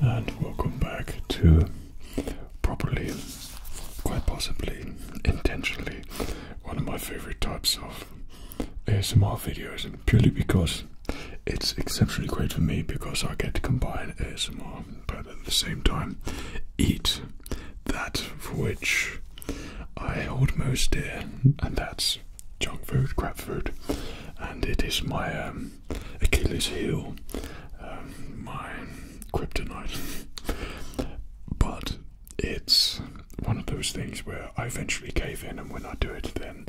And we'll come back to probably, quite possibly, intentionally, one of my favorite types of ASMR videos, purely because it's exceptionally great for me because I get to combine ASMR, but at the same time, eat that for which I hold most dear, and that's junk food, crap food, and it is my um, Achilles heel, um, my kryptonite. but it's one of those things where I eventually cave in, and when I do it, then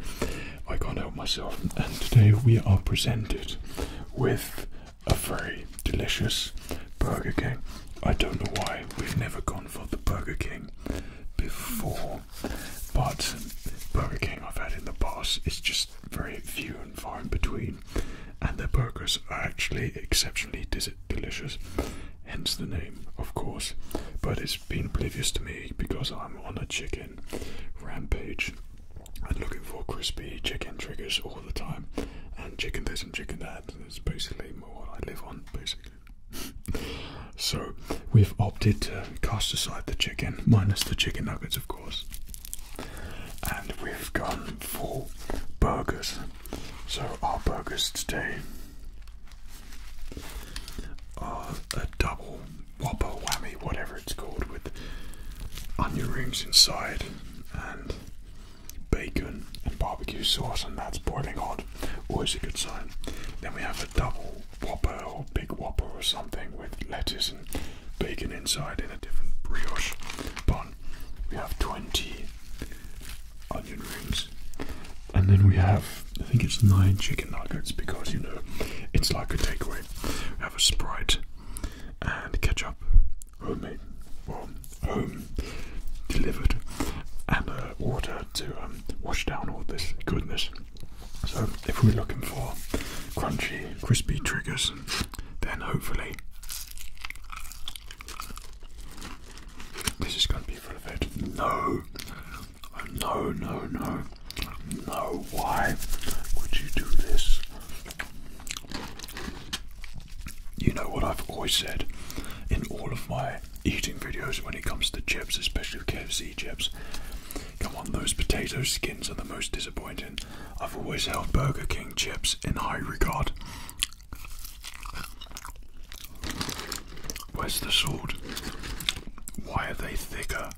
I can't help myself. And today we are presented with a very delicious Burger King. I don't know why we've never gone for the Burger King before but Burger King I've had in the past is just very few and far in between, and the burgers are actually exceptionally delicious, hence the name, of course. But it's been oblivious to me because I'm on a chicken rampage and looking for crispy chicken triggers all the time, and chicken this and chicken that. It's basically what I live on, basically. so we've opted to cast aside the chicken minus the chicken nuggets of course. And we've gone for burgers. So our burgers today are a double whopper whammy, whatever it's called, with onion rings inside and bacon and barbecue sauce, and that's boiling hot. Always a good sign. Then we have a double Whopper or Big Whopper or something with lettuce and bacon inside in a different brioche bun. We have 20 onion rings. And then we have, I think it's nine chicken nuggets because you know it's like a takeaway. We have a sprite and ketchup, homemade, well, home delivered, and uh, water to um, wash down all this goodness. So, if we're looking for crunchy, crispy triggers, then hopefully this is going to be full of it. No, no, no, no, no. Why would you do this? You know what I've always said in all of my eating videos when it comes to chips, especially KFC chips. Come on, those potato skins are the most disappointing. I've always held Burger King chips in high regard. Where's the sword? Why are they thicker?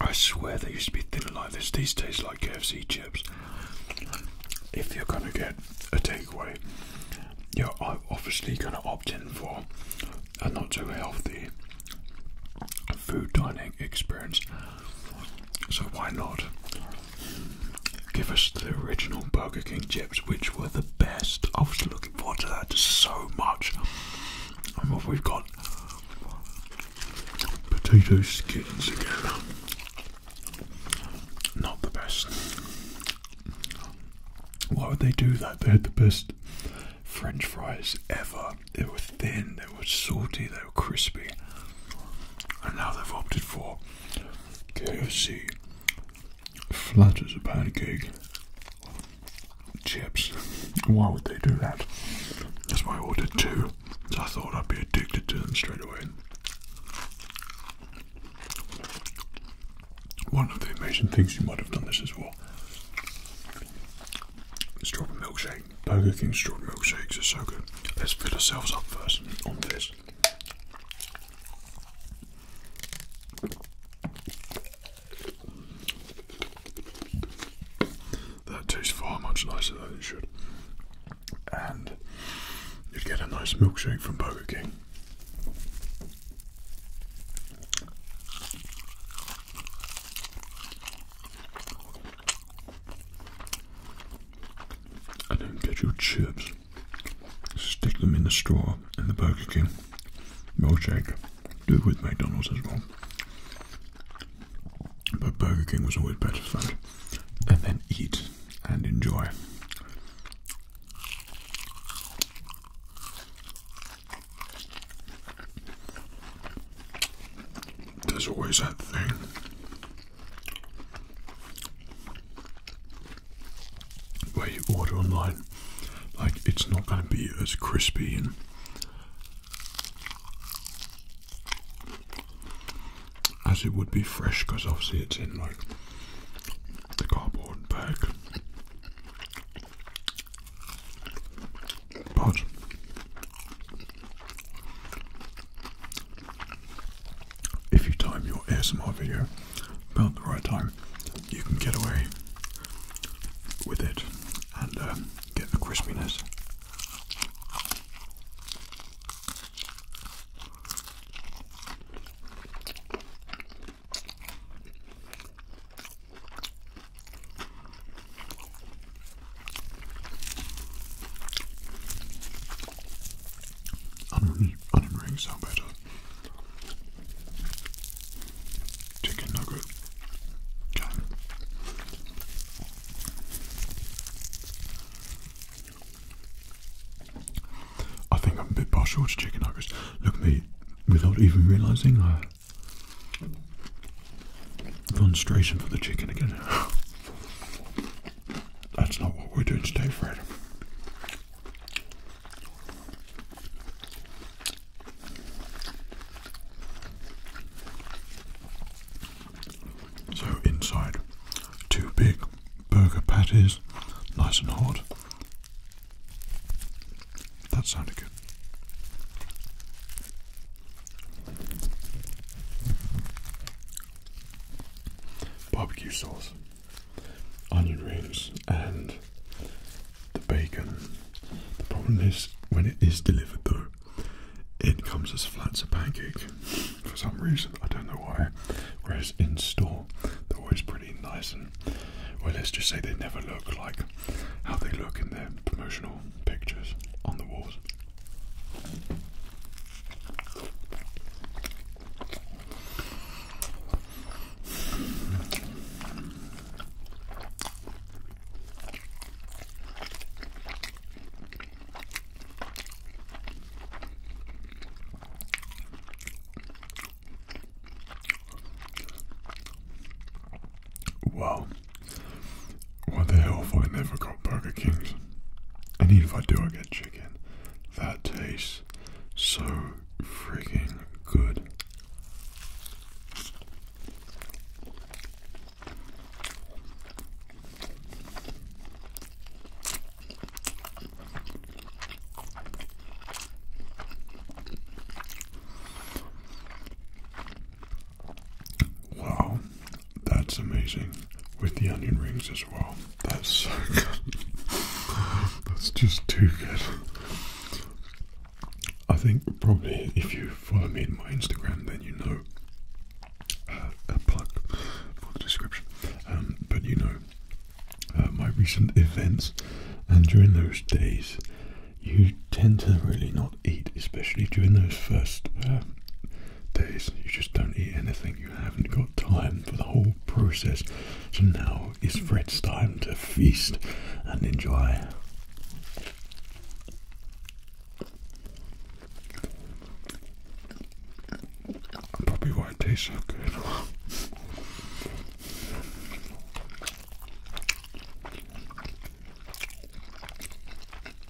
I swear they used to be thinner like this. These taste like KFC chips. If you're gonna get a takeaway, you're obviously gonna opt in for a not too healthy food dining experience. So, why not give us the original Burger King chips, which were the best? I was looking forward to that so much. And we've got potato skins again. Not the best. Why would they do that? They had the best French fries ever they were thin, they were salty, they were crispy. And now they've opted for KFC, flat as a pancake, chips. Why would they do that? That's why I ordered two, I thought I'd be addicted to them straight away. One of the amazing things you might have done this as well. Strawberry milkshake milkshake. Burger King strawberry milkshakes are so good. Let's fill ourselves up first on this. That tastes far much nicer than it should. And you'd get a nice milkshake from Burger King. And then get your chips, stick them in the straw in the Burger King milkshake. Do it with McDonald's as well. But Burger King was always better food. And then eat and enjoy. There's always that thing. Where you order online, like it's not going to be as crispy and as it would be fresh because obviously it's in like the cardboard bag. But if you time your ASMR video about the right time, you can get away with it and um, get the crispiness. Onion, rings sound better. Chicken nugget. I think I'm a bit partial to chicken nuggets. Look at me, without even realising I Concentration for the chicken again. That's not what we're doing today, Fred. So inside, two big burger patties, nice and hot. That sounded good barbecue sauce, onion rings, and the bacon. The problem is, when it is delivered though, it comes as flat as a pancake for some reason. I don't know why. Whereas in store, they're always pretty nice and, well, let's just say they never look like how they look in their promotional pictures on the walls. Wow, what the hell if I never got Burger King's? And even if I do, I get chicken. That tastes so freaking good. Wow, that's amazing. With the onion rings as well. That's so good. That's just too good. I think probably if you follow me in my Instagram, then you know uh, a plug for the description. Um, but you know uh, my recent events, and during those days, you tend to really not eat, especially during those first uh, days. You just don't eat anything. You haven't got time for the whole process. So now is Fred's time to feast and enjoy. Probably why it tastes so good.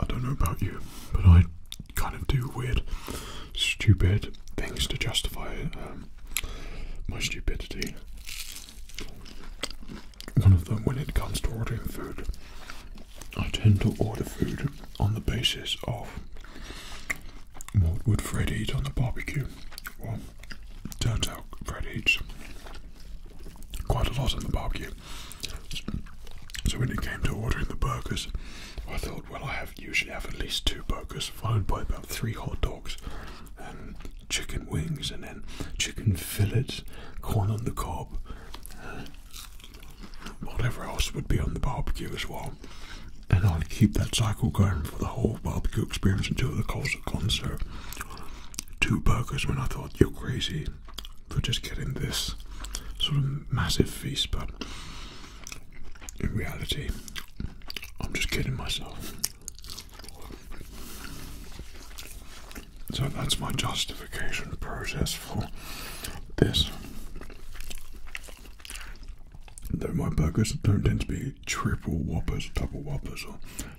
I don't know about you, but I kind of do weird, stupid things to justify um, my stupidity. One of them, when it comes to ordering food, I tend to order food on the basis of what would Fred eat on the barbecue? Well, turns out Fred eats quite a lot on the barbecue. So when it came to ordering the burgers, I thought, well, I usually have at least two burgers, followed by about three hot dogs, and chicken wings, and then chicken fillets, corn on the cob, whatever else would be on the barbecue as well and I'll keep that cycle going for the whole barbecue experience until the cost of concert. Two burgers when I thought you're crazy for just getting this sort of massive feast, but in reality, I'm just kidding myself. So that's my justification process for this. Though my burgers don't tend to be triple whoppers, double whoppers, or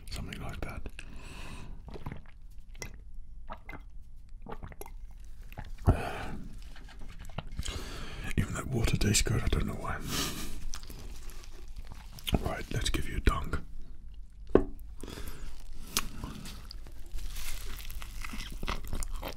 something like that. Even that water tastes good, I don't know why. All let's give you a dunk.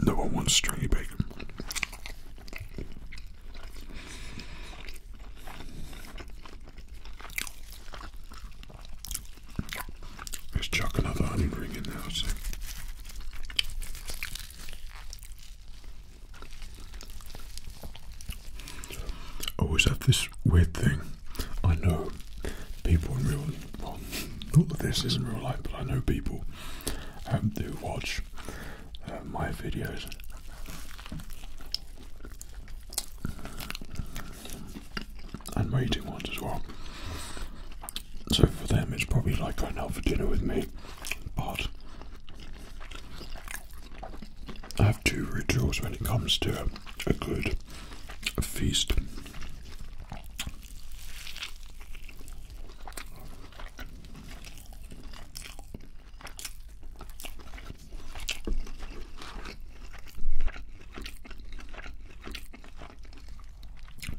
No one wants stringy bacon. Let's chuck another onion ring in there, Oh, is that this weird thing? I know people in real well, not that this isn't real life, but I know people and um, do watch uh, my videos. And my eating ones as well. So for them, it's probably like going out for dinner with me. But I have two rituals when it comes to a good feast.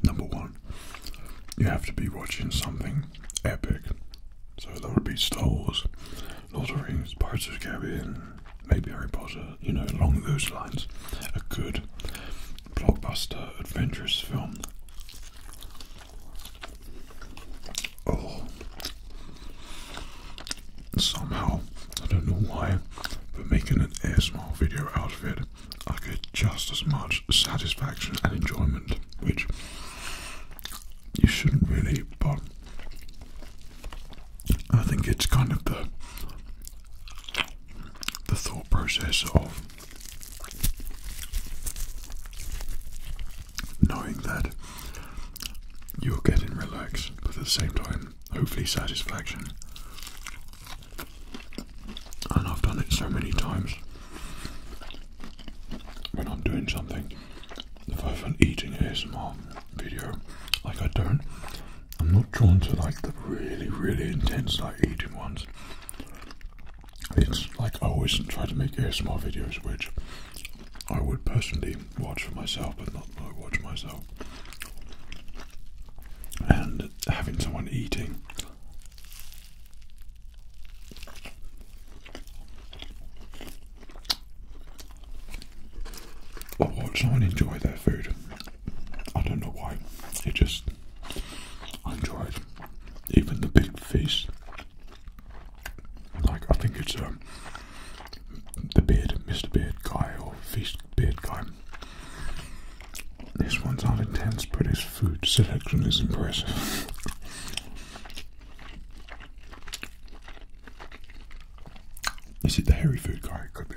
Number one, you have to be watching something epic. So that would be Star Wars, Lord of Rings, Pirates of the Caribbean, maybe Harry Potter, you know, along those lines. A good blockbuster adventurous film Oh, somehow, I don't know why, but making an ASMR video out of it, I get just as much satisfaction and enjoyment, which you shouldn't really, but I think it's kind of the the thought process of knowing that you're getting relaxed, but at the same time, hopefully, satisfaction. And I've done it so many times when I'm doing something, if I have an eating ASMR video, like I don't, I'm not drawn to like the really, really intense, like eating ones it's like I always try to make ASMR videos, which I would personally watch for myself, but not like, watch myself. And having someone eating. Or watch someone enjoy their food. I don't know why. It just I enjoyed even the big feast. Like I think it's um the beard, Mr. Beard guy or Feast Beard guy. These ones aren't intense, but his food selection is impressive. is it the hairy food guy? Could be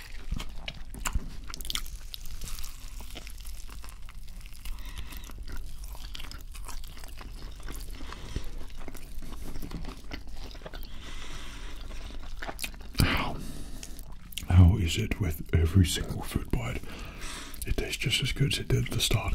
How? How is it with every single food bite? It tastes just as good as it did at the start.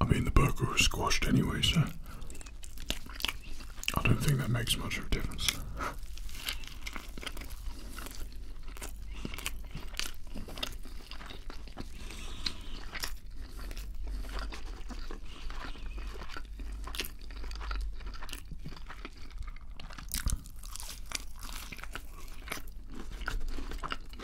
I mean, the burger was squashed anyway, sir. I don't think that makes much of a difference.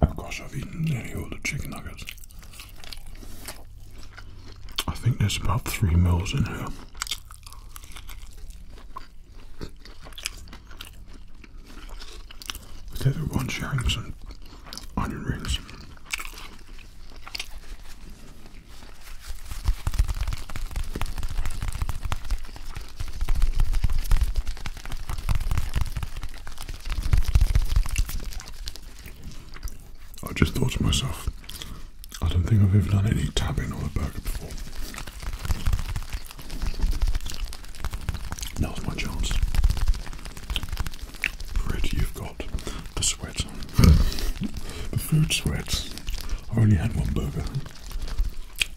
Of course, I've eaten nearly all the chicken nuggets. I think there's about three meals in here. With everyone sharing some onion rings. I just thought to myself, I don't think I've ever done any tapping on a burger before. That was chance. Already you've got the sweat. the food sweats. I only had one burger.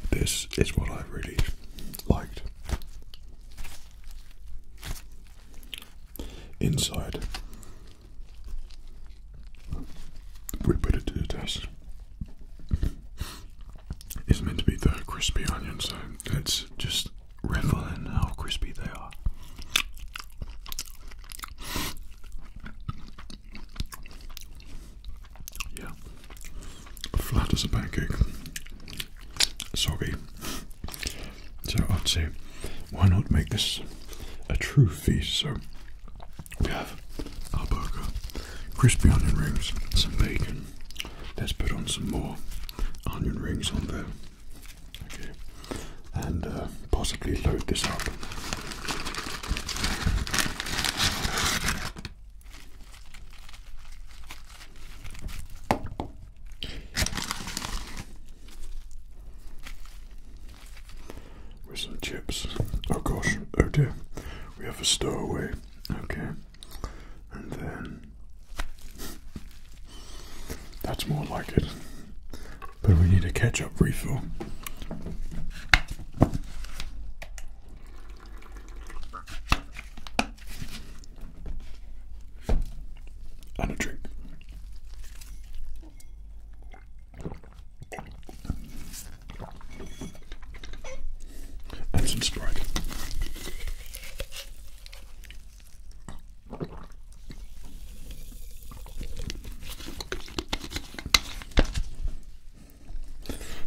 This is what I really liked. Inside, we put it to the test. It's meant to be the crispy onion, so let's just revel in how crispy they are. Yeah. Flat as a pancake. Soggy. So I'd say, why not make this a true feast? So we have our burger, crispy onion rings, some bacon. Let's put on some more onion rings on there. Okay, and uh, possibly load this up. With some chips. Oh gosh, oh dear, we have a stowaway. Okay, and then that's more like it. But we need a ketchup refill. And a drink. And some Sprite.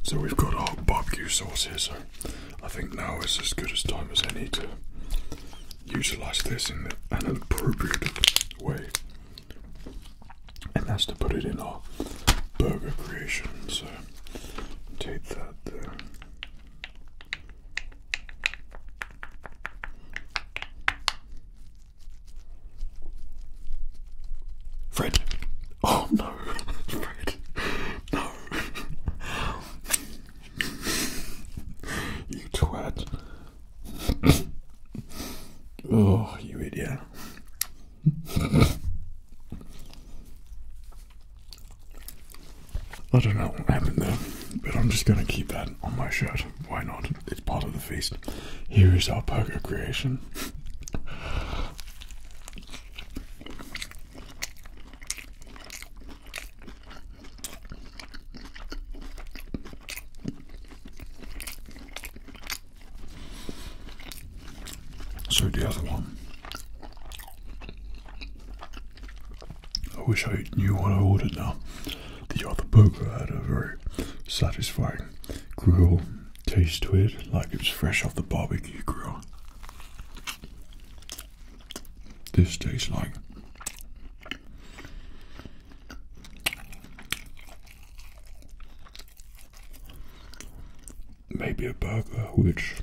So we've got our barbecue sauce here, so I think now is as good a time as any to utilize this in an appropriate way. And that's to put it in our burger creation. So take that there. Fred. Oh no, Fred. No. you twat. oh, you idiot. I don't know what happened there, but I'm just going to keep that on my shirt. Why not? it's part of the feast. Here is our burger creation. So the other one. I wish I knew what I ordered now. The other burger had a very satisfying grill taste to it, like it was fresh off the barbecue grill. This tastes like maybe a burger which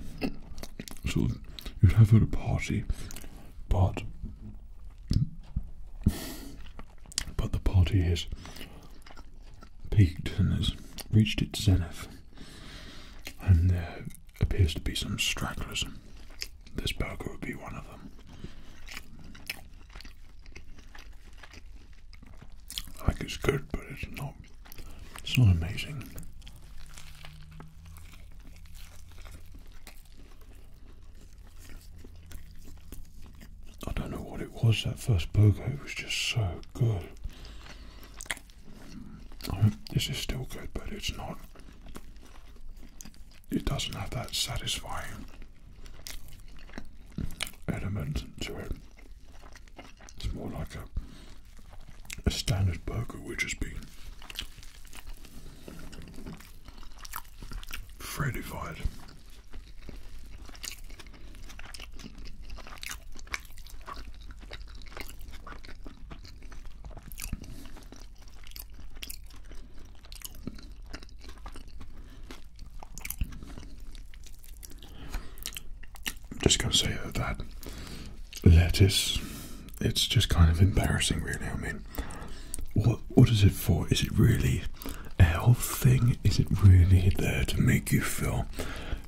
sort of you'd have at a party, but but the party has peaked and has reached its zenith, and there appears to be some stragglers. This burger would be one of them. Like think it's good, but it's not. It's not amazing. I don't know what it was, that first burger, it was just so good. this is still good, but it's not. It doesn't have that satisfying element to it. It's more like a, a standard burger, which has been Freddified. i just going to say that that lettuce, it's just kind of embarrassing, really. I mean, what, what is it for? Is it really a health thing? Is it really there to make you feel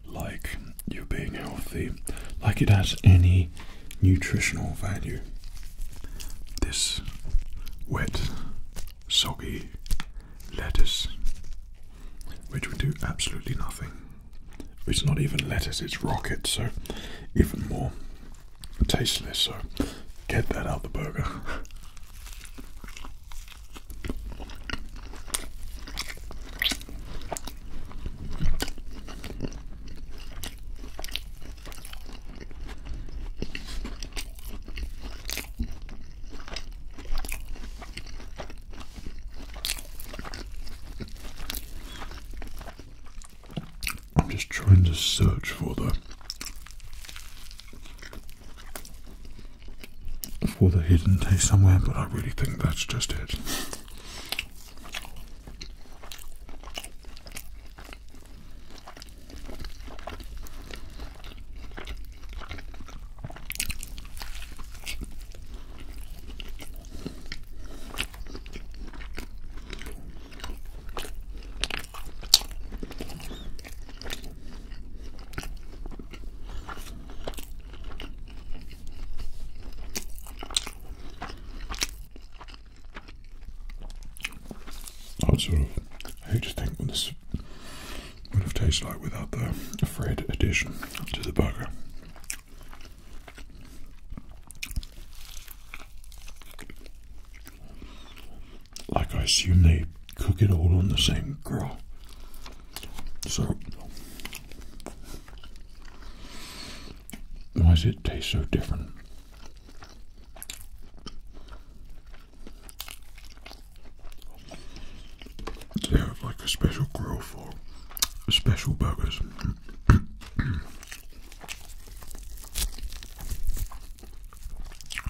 like you're being healthy? Like it has any nutritional value? This wet, soggy lettuce, which would do absolutely nothing. It's not even lettuce, it's rocket, so even more tasteless, so get that out the burger. I'm just trying to search for the for the hidden taste somewhere, but I really think that's just it. I would sort of hate to think what this would have tasted like without the Fred addition to the burger. Like, I assume they cook it all on the same grill. So, why does it taste so different? They have like a special grill for special burgers.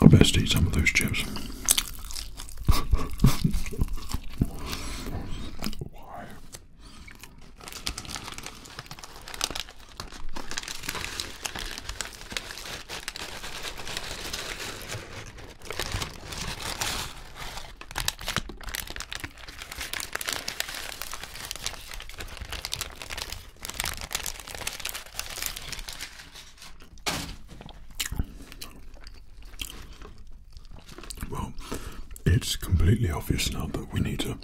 I best eat some of those chips. Well, it's completely obvious now that we need to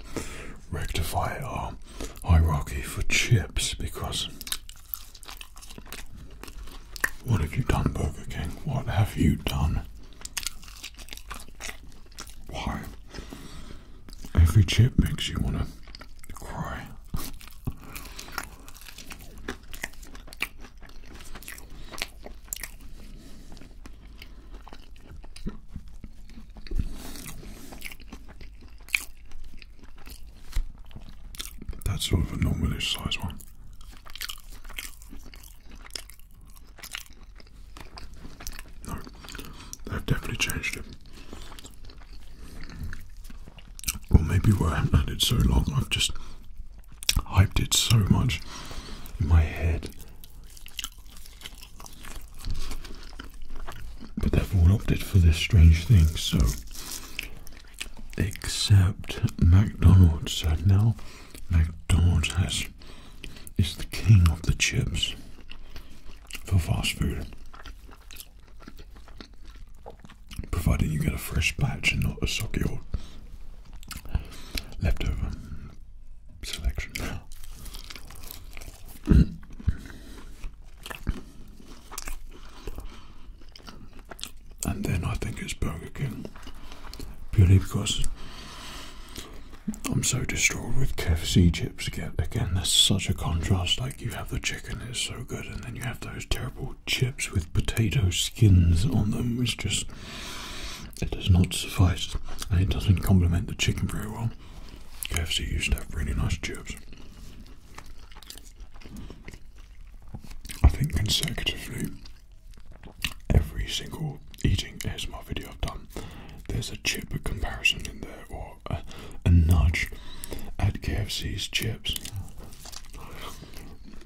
rectify our hierarchy for chips because what have you done, Burger King? What have you done? Why? Every chip makes you want to cry. That's sort of a normalish size one. No, they've definitely changed it. Or maybe where I haven't had it so long, I've just hyped it so much in my head. But they've all opted for this strange thing, so except McDonald's. So uh, now McDonald's has is the king of the chips for fast food. Provided you get a fresh batch and not a soggy old leftover selection and then I think it's Burger King purely because I'm so distraught with KFC chips again. Again, that's such a contrast. Like you have the chicken, it's so good, and then you have those terrible chips with potato skins on them, which just it does not suffice, and it doesn't complement the chicken very well. KFC used to have really nice chips. I think consecutively, every single eating ASMR video I've done, there's a chip comparison in there or a, nudge at KFC's chips.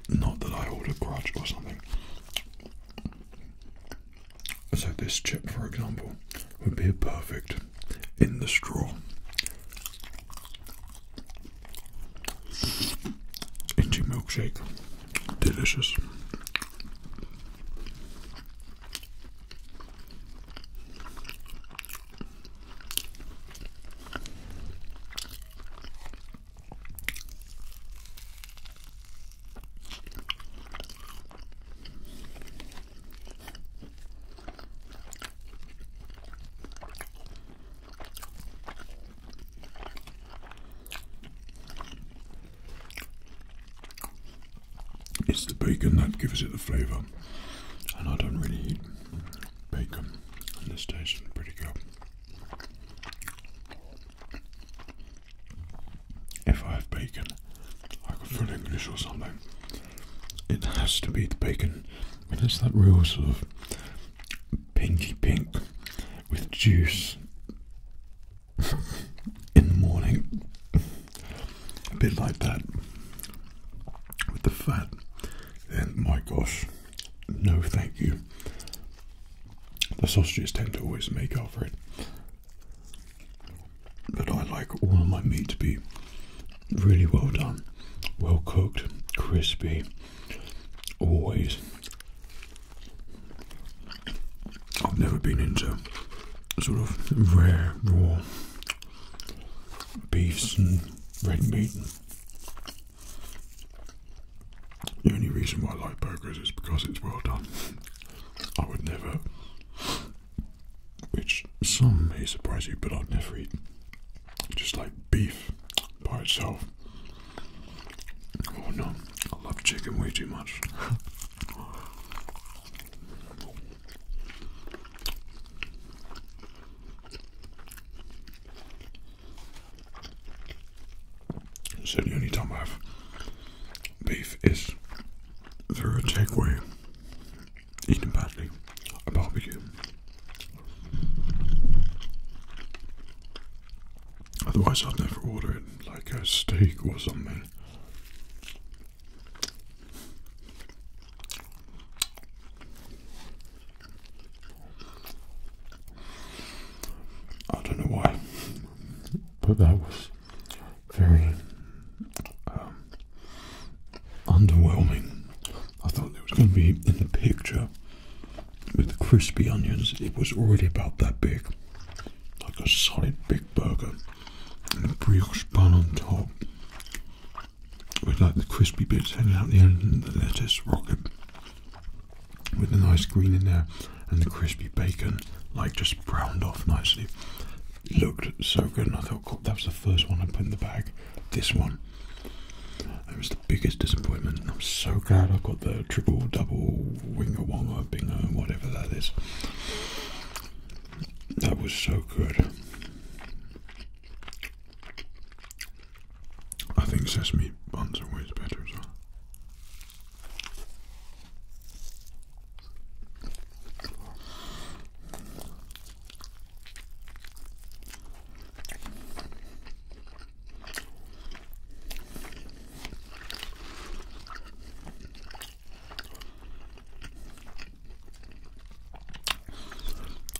Not that I hold a grudge or something. So, this chip, for example, would be a perfect in the straw into milkshake, delicious. It's the bacon that gives it the flavour, and I don't really eat bacon, and this tastes pretty good. If I have bacon, like a full English or something, it has to be the bacon. It's that real of pinky pink with juice in the morning. A bit like that with the fat. And my gosh, no thank you. The sausages tend to always make up for it. But I like all my meat to be really well done, well cooked, crispy, always. I've never been into sort of rare, raw beefs and red meat. The only reason why I like burgers is because it's well done. I would never, which some may surprise you, but I'd never eat just like beef by itself. Oh no, I love chicken way too much. so the only time I have beef is through a takeaway eaten badly a barbecue. Otherwise, I'd never order it like a steak or something. I don't know why, but that was very um, underwhelming. I thought it was going to be in the picture with the crispy onions, it was already about that big, like a solid big burger, and a brioche bun on top, with like the crispy bits hanging out the end, the lettuce rocket, with the nice green in there, and the crispy bacon, like just browned off nicely. looked so good, and I thought, that was the first one I put in the bag. This one that was the biggest disappointment, I'm so glad I got the triple, double, winger, wonga, bingo, whatever that is. That was so good. I think sesame buns are always better as well.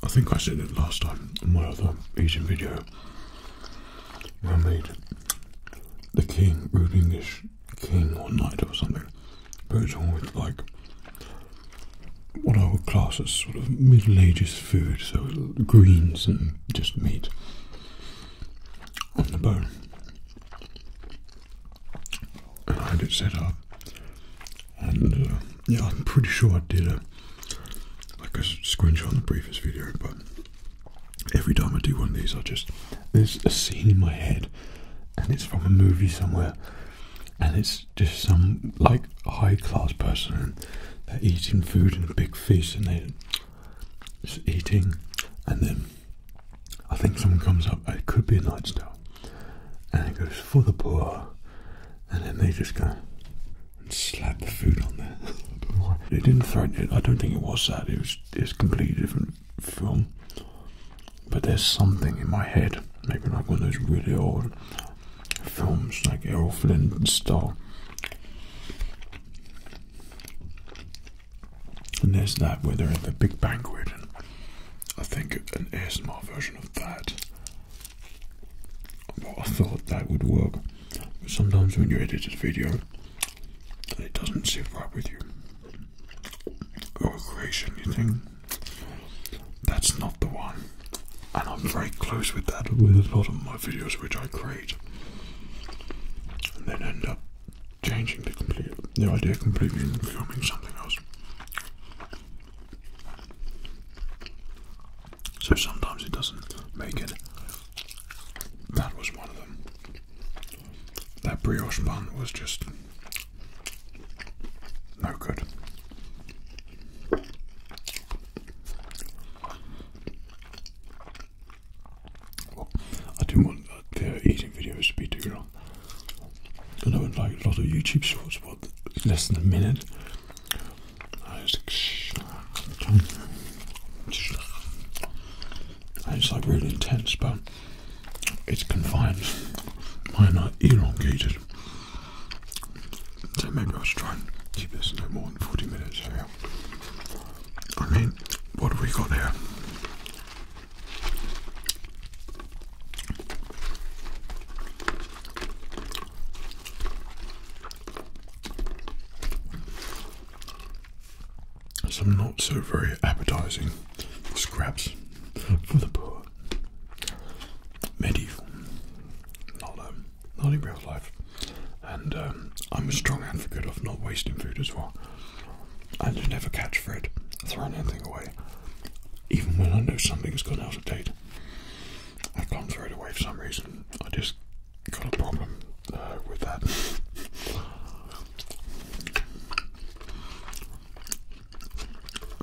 I think I said it last time in my other eating video. I made the king, rude English king or knight or something, but it's all like what I class as sort of Middle Ages food, so greens and just meat on the bone. And I had it set up, and uh, yeah, I'm pretty sure I did a like a screenshot in the previous video, but every time I do one of these, I just there's a scene in my head, and it's from a movie somewhere, and it's just some like high class person and they're eating food in a big feast and they're just eating and then I think someone comes up, it could be a night star, and it goes for the poor and then they just go and slap the food on there. they didn't throw it, I don't think it was that, it was it's completely different film. But there's something in my head, maybe like one of those really old films like Errol Flynn and Star. And there's that where they're at the big banquet, and I think an ASMR version of that. I thought that would work, but sometimes when you edit a video, it doesn't sit right with you. Or creation, you think that's not the one and I'm very close with that with a lot of my videos which I create and then end up changing the complete the idea completely and filming something else. So sometimes it doesn't make it. That was one of them. That brioche bun was just no good. I do not want uh, their eating videos to be too long. I know, like a lot of YouTube shorts, but less than a minute. it's like really intense, but it's confined, mine not elongated. So maybe I'll try and keep this no more than 40 minutes. I mean, what have we got here? Some not so very appetizing scraps for the poor. Medieval. Not, um, not in real life. And um, I'm a strong advocate of not wasting food as well. I you never catch Fred throwing anything away. Even when I know something's gone out of date, I can't throw it away for some reason. I just got a problem uh, with that.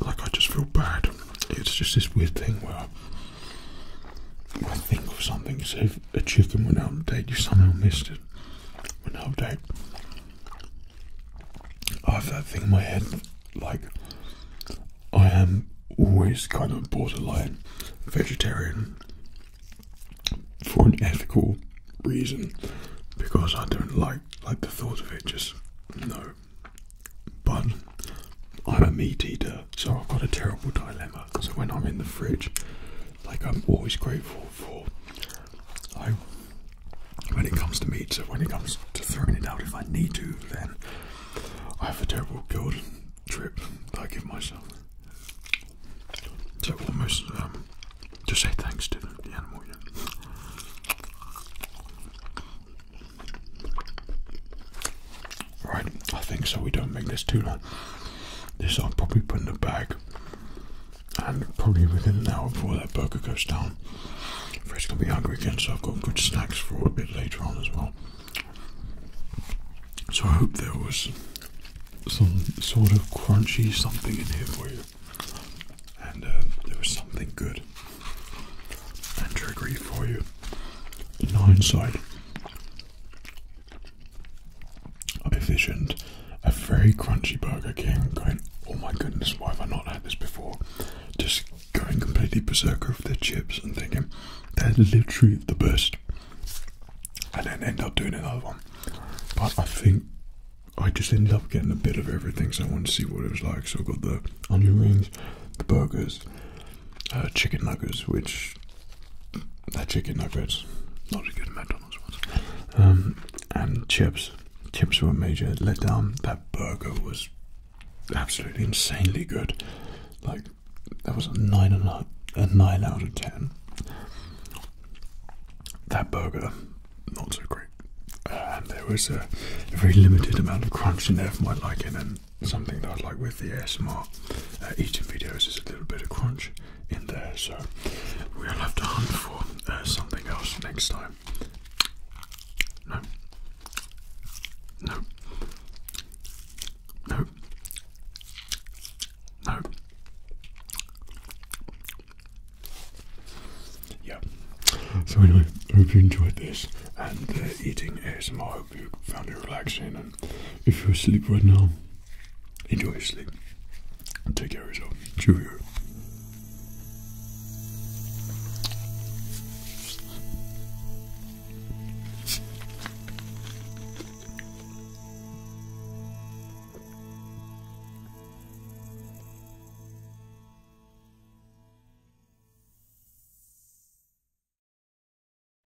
like I just feel bad. It's just this weird thing where i think of something. You if a chicken went out on date, you somehow missed it. Went out on date. I have that thing in my head, like I am always kind of borderline vegetarian for an ethical reason because I don't like like the thought of it. Just no. But I'm a meat eater. So I've got a terrible dilemma So when I'm in the fridge, like I'm always grateful for, like when it comes to meat, so when it comes to throwing it out if I need to, then I have a terrible guilt trip that I give myself. So almost um, to say thanks to the, the animal. Yeah. Right, I think so. We don't make this too long. This I'll probably put in the bag, and probably within an hour before that burger goes down. Fred's gonna be hungry again, so I've got good snacks for a bit later on as well. So I hope there was some sort of crunchy something in here for you, and uh, there was something good and triggery for you in hindsight. I envisioned a very crunchy Burger King going, oh my goodness, why have I not had this before? Just going completely berserk over their chips and thinking, they're literally the best. And then end up doing another one. But I think I just ended up getting a bit of everything, so I wanted to see what it was like. So I got the onion rings, the burgers, uh, chicken nuggets, which That chicken nuggets, not as good McDonald's ones, um, and chips. Chips were a major letdown. That burger was absolutely insanely good. Like that was a nine and a, nine out of ten. That burger, not so great. And there was a very limited amount of crunch in there for my liking, and um, something that I like with the ASMR uh, eating videos is a little bit of crunch in there, so we'll have to hunt for uh, something else next time. No. No. No. No. Yeah. So anyway, hope you enjoyed this and uh, eating ASMR. I hope you found it relaxing if you're asleep right now, enjoy your sleep. Take care of yourself. Cheerio.